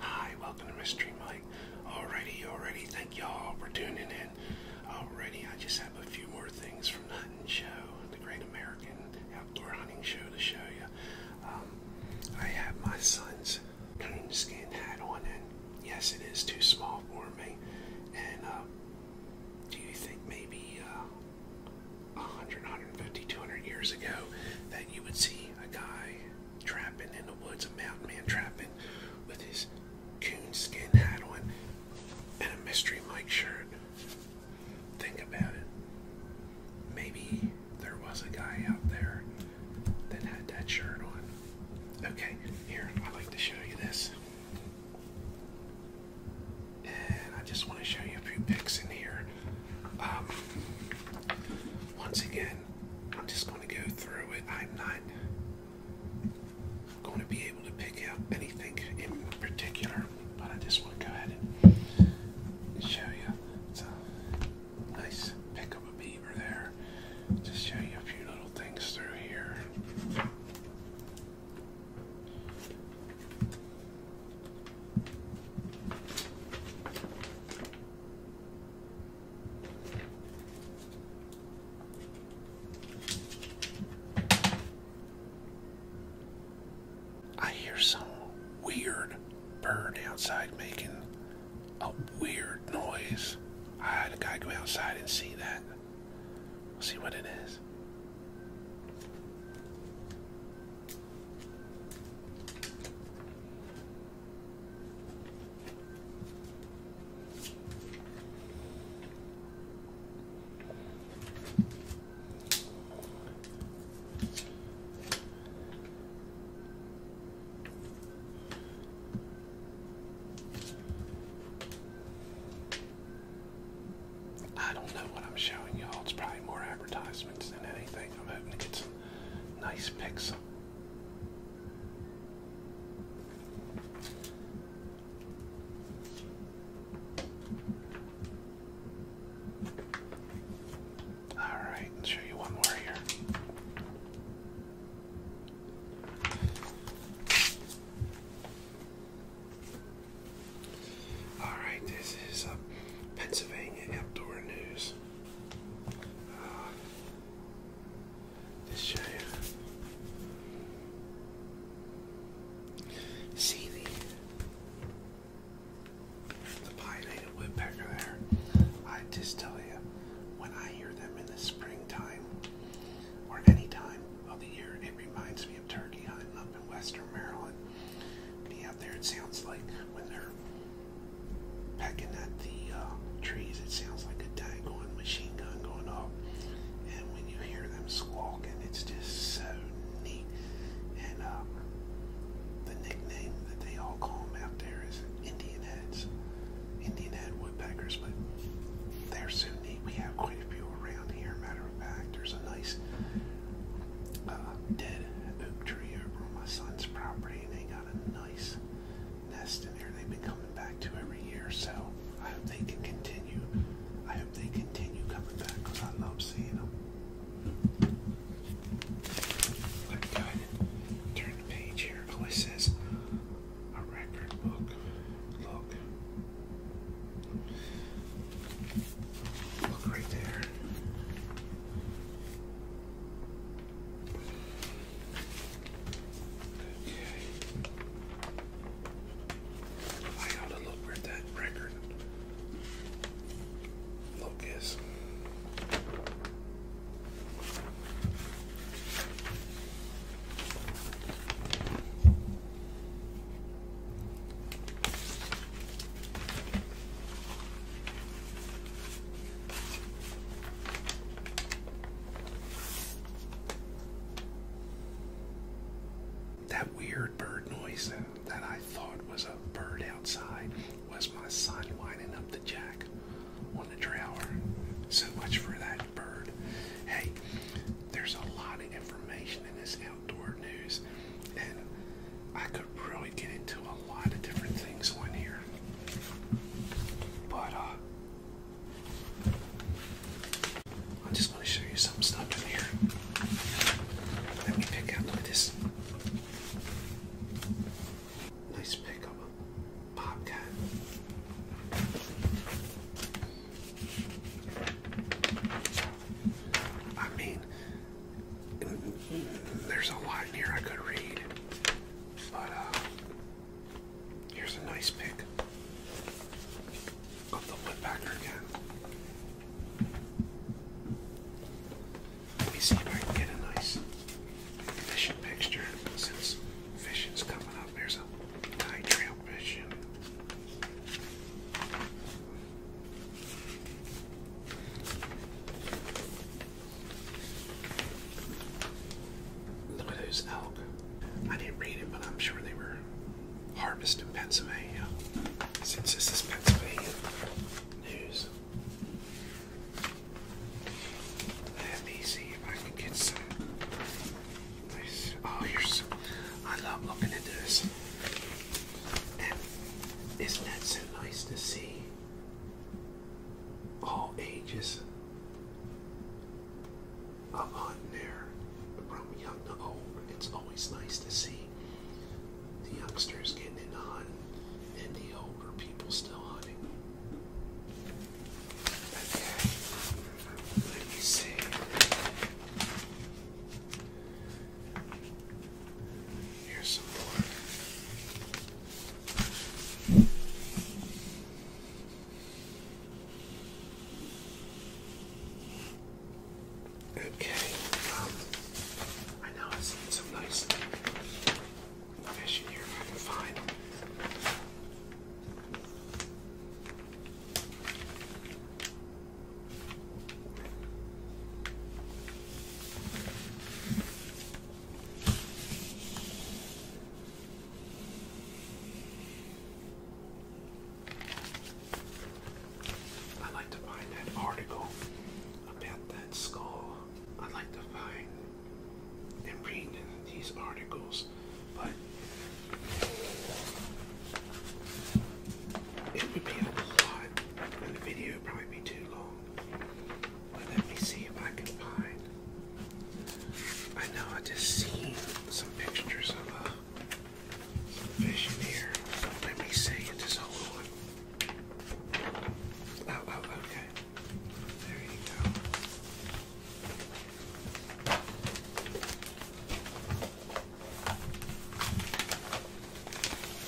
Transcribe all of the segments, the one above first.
Hi, welcome to Mystery Mike. Alrighty, already, thank y'all for tuning in. Already, I just have a few more things from the hunting show, the Great American Outdoor Hunting Show to show you. Um, I have my son's coonskin hat on, and yes, it is too small for me. And uh, do you think maybe uh, 100, 150, 200 years ago that you would see a guy trapping in the woods, a mountain man trapping with his coonskin hat on and a mystery Mike shirt. Think about it. Maybe there was a guy out there that had that shirt on. Okay, here, i like to show you this. And I just want to show you a few pics in here. Um, once again, I'm just going to go through it. I'm not going to be able to pick out anything in particular, but I just want to go ahead and show you. So, nice pick up a beaver there. Just show you a few little things through here. I hear some weird bird outside making a weird noise. I gotta go outside and see that. We'll see what it is. I don't know what I'm showing y'all. It's probably more advertisements than anything. I'm hoping to get Nice pixel. All show you one more here. All right, this is uh, Pennsylvania Outdoor News. This shave. See the, the woodpecker there. I just tell you, when I hear them in the springtime or any time of the year, it reminds me of turkey hunting up in western Maryland. Yeah, there it sounds like when they're pecking at the uh, trees, it sounds like a daggone machine gun going off. And when you hear them squawking, it's just so neat. And uh, the nickname that they all call them out there is Indian heads, Indian head woodpeckers. But they're so neat. We have quite a few around here. Matter of fact, there's a nice uh, dead oak tree on my son's property, and they got a nice nest in there. They've been coming back to every year, so I hope they can continue. I hope they continue coming back because I love seeing them. Let me go ahead and turn the page here. it says a record book. Look. Look right there. I ought to look where that record look is. That weird bird noise that I thought was a bird outside was my son winding up the jack on the drower. So much for that bird. Hey, there's a lot of information in this album outdoor news, and I could really get into a lot of different things on here. But uh, i just want to show you some stuff in here. Let me pick out. this. Nice pickup, Bobcat. I mean, there's a lot in here I could read, but uh, here's a nice pick of the woodpecker again. Let me see if I can get a nice fishing picture since fishing's coming up. There's a high trail fishing. Look at those elk. I didn't read it, but I'm sure they were harvested in Pennsylvania. Since this is Pennsylvania news. Let me see if I can get some. Nice. Oh, here's. I love looking at this isn't that so nice to see? All ages up on there, from young to old. It's always nice to see the youngsters getting in the on and the older people still hunting. Okay, let me see. Here's some more. Okay, um, I know I've seen nice fish in here if I can find. I'd like to find that article about that skull. I'd like to find and read these articles, but it would be a lot, and the video would probably be too long. But let me see if I can find. I know I just seen some pictures of uh, some fish in here. Let me see it. Just hold on. Oh, oh, okay. There you go.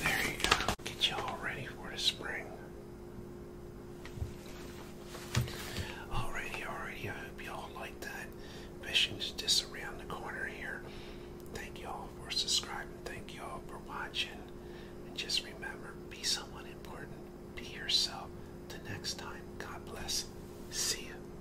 There you go. Get y'all ready for the spring. Alrighty, alrighty. I hope y'all like that. Fishing's just around the corner here. Thank y'all for subscribing. Thank y'all for watching. And just remember, be someone important. Be yourself. Till next time, God bless. See you.